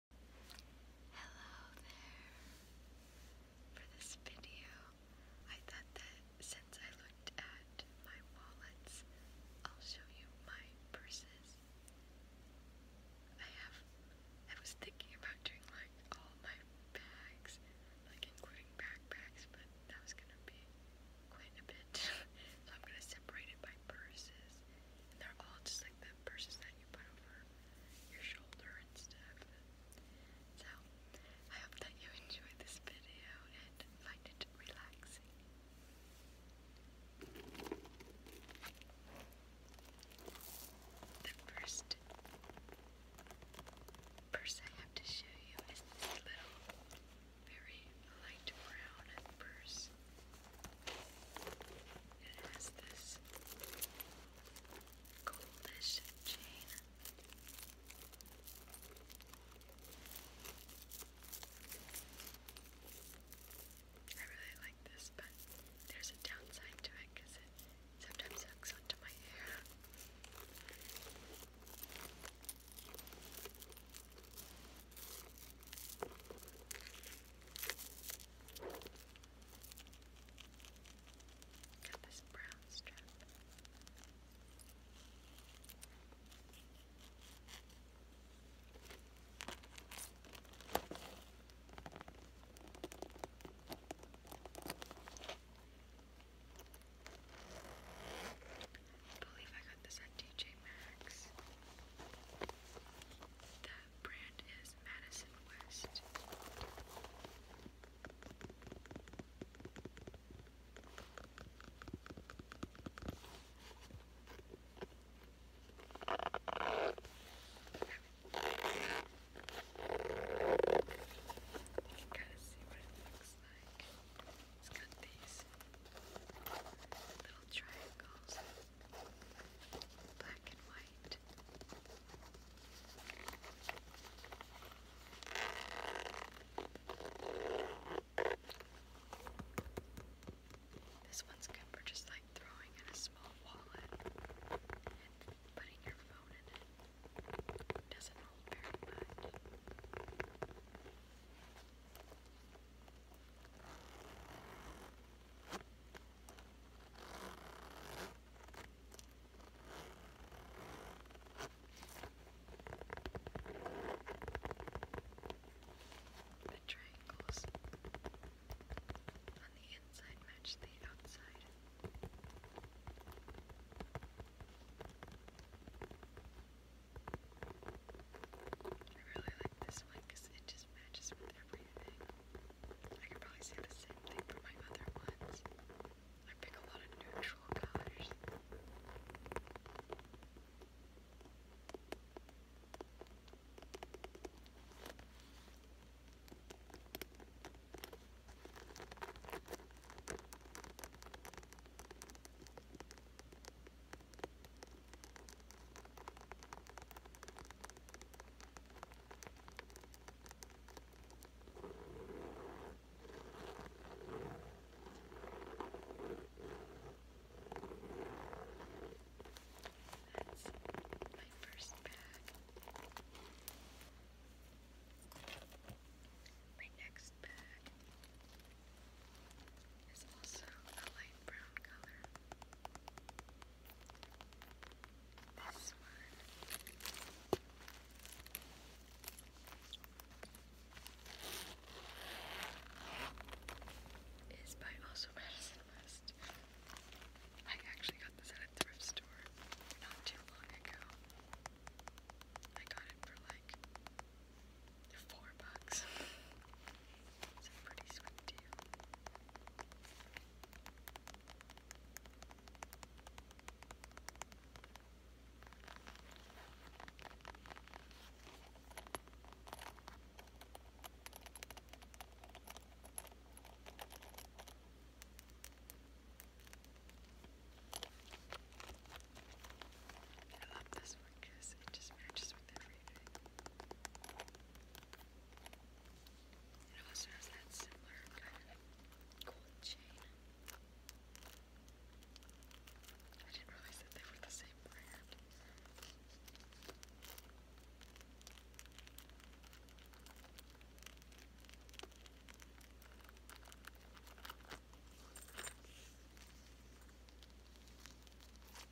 Hello there. For this video, I thought that since I looked at my wallets, I'll show you my purses. I have, I was thinking about doing like all my bags, like including backpacks, but that was gonna be quite a bit. so I'm gonna separate it by purses. And they're all just like like the purses that you put over your shoulder and stuff. So, I hope that you enjoyed this video and find it relaxing. The first purse I have to show you is this little, very light brown purse. It has this goldish chain. I really like this, but there's a downside to it because it sometimes hooks onto my hair. Got this brown believe I got this at DJ Maxx. The brand is Madison West. You can kind of see what it looks like. It's got these little triangles black and white. This one's good for just like throwing in a small wallet putting your phone in it. Doesn't hold very much. The triangles on the inside match the outside. Now I really like this one because it just matches with everything. I could probably say the same thing for my other ones. I pick a lot of neutral colors. That's my first bag. My next bag is also a light brown color. This one is by also Madison West. I actually got this at a thrift store not too long ago. I got it for like Four bucks. It's a pretty sweet deal. I love this one because it just matches with everything. It also has that similar kind of gold chain. I didn't realize that they were the same brand. It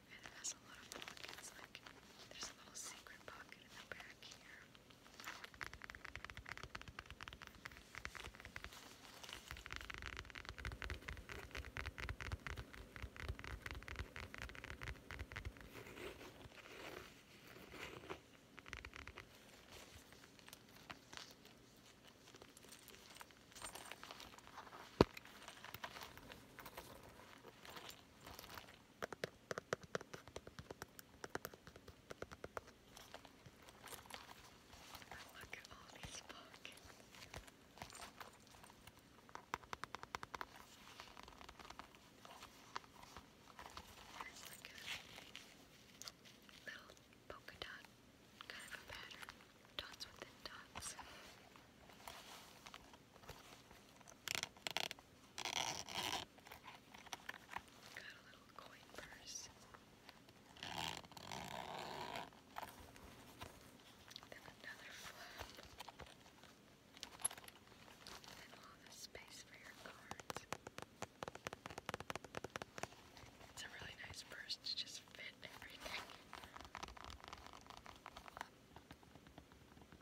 and it has a lot of pockets. Like there's a little secret pocket in the back here. Look at all these pockets. There's like a little polka dot kind of a pattern, dots within dots. Got a little coin purse. Then another flap. And all this space for your cards. It's a really nice purse to just fit everything.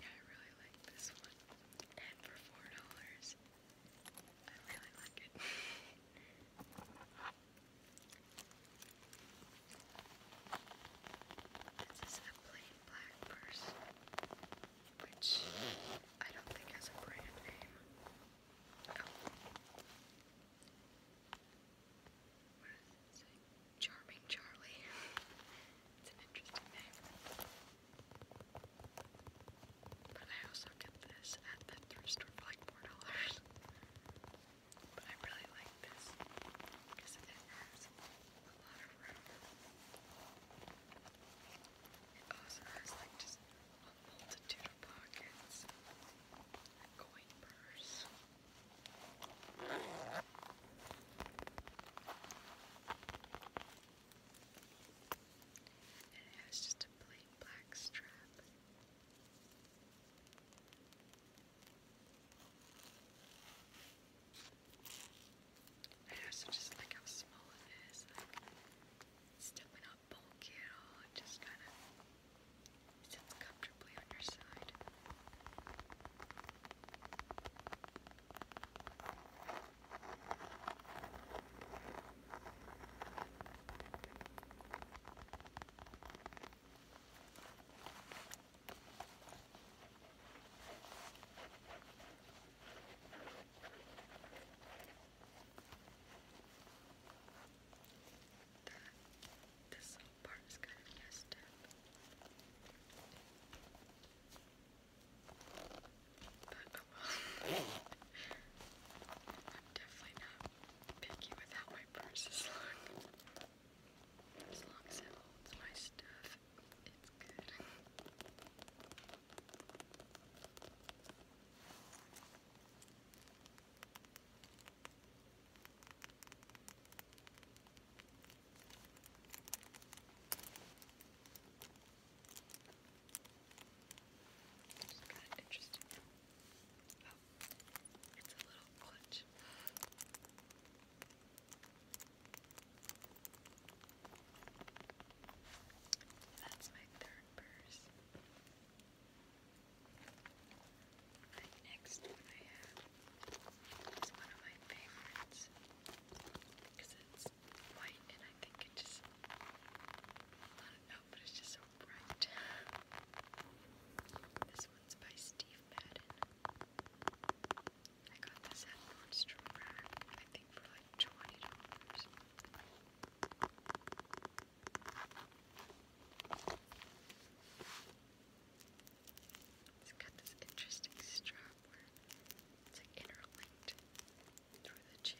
Yeah, I really like this one. And for four dollars, I really like it. this is a plain black purse, which I don't think has a brand name. Oh. Charming Charlie. it's an interesting name. But I also get this at the thrift store for like four dollars. But I really like this because it has a lot of room. It also has like just a multitude of pockets, coin purse. And it has just a plain black strap. I also just like how small it is, like it's definitely not bulky at all, it just kind of Sits comfortably on your side. That, this side part is kind of But I'm definitely not picky with my purse As long as it holds my stuff, it's good. It's kind of interesting. Oh, it's a little clutch. That's my third purse. The next I have is one of my favorites because it's white and I think it just, I don't know, but it's just so bright. This one's by Steve Madden. I got this at Nordstrom I think for like $20. It's got this interesting strap where it's interlinked through the chain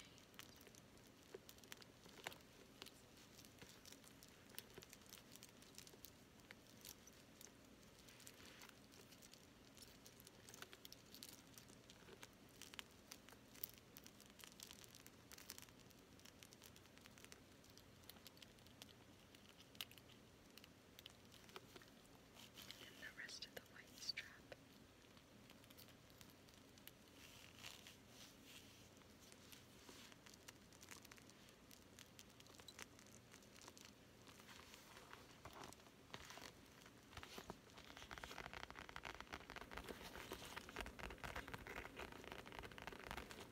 and the rest of the white strap. Now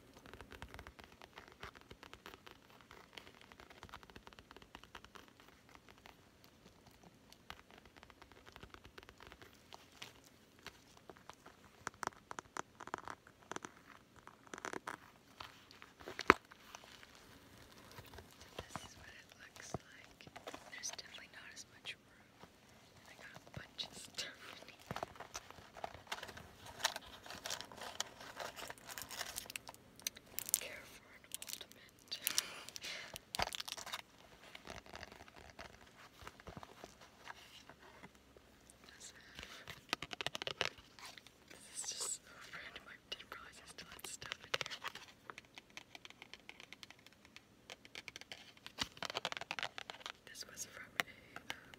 this is what it looks like. There's definitely not as much room. And I got a bunch of stuff in here. Care for an ultimate. This is just so random. I didn't realize I still had stuff in here. This was from a, um,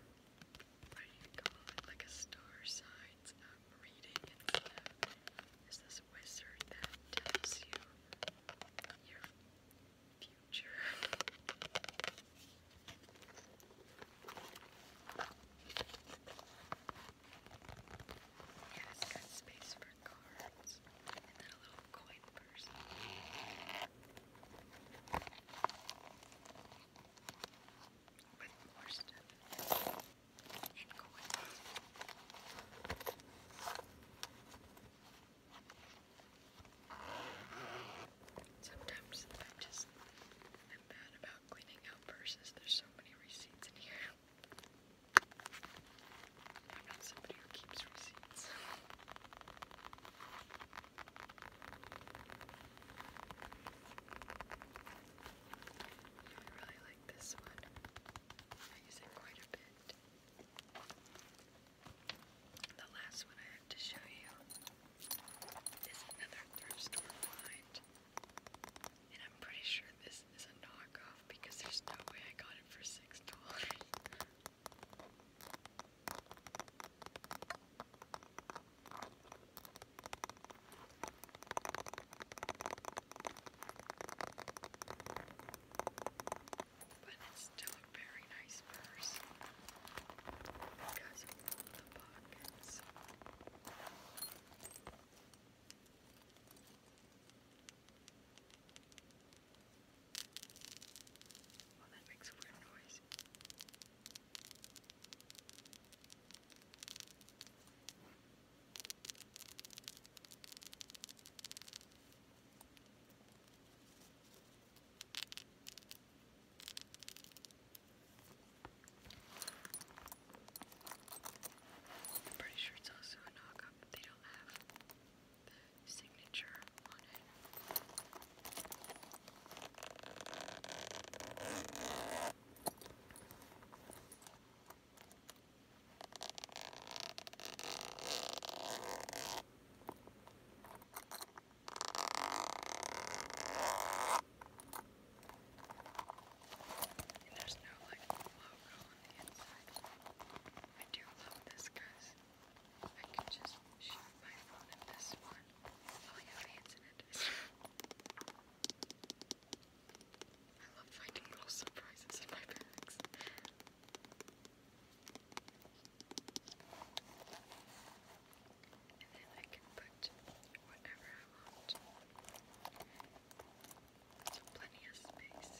what do you call it, like a star signs um, reading. And uh, this wizard that tells you your future. Yeah, got space for cards and then a little coin person. Sometimes I just am bad about cleaning out purses. There's so many receipts in here. I'm somebody who keeps receipts. I really like this one. I use it quite a bit. The last one I have to show you is another thrift store find. And I'm pretty sure this is a knockoff because there's no way I got it for $6. But it's still a very nice purse because of all the pockets. Well, oh, that makes a weird noise. pretty sure it's also a knockup, they don't have signature on it. And there's no like logo on the inside. I do love this because I can just shoot my phone at this one. Oh, yeah, hands in it. I love finding little surprises in my bags. And then I can put whatever I want. So plenty of space.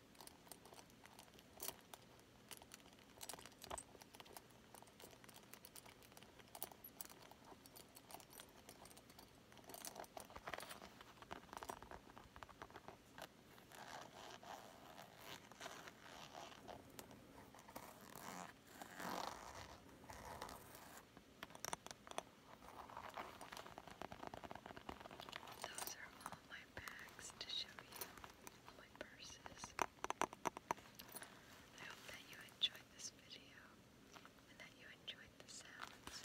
Those are all my my bags to show you all my purses. I hope that you enjoyed this video and that you enjoyed the sounds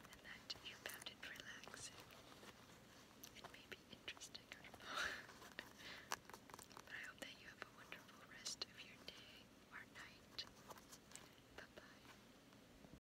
and that you found it relaxing. It may be interesting, but I hope that you have a wonderful rest of your day or night. Bye bye.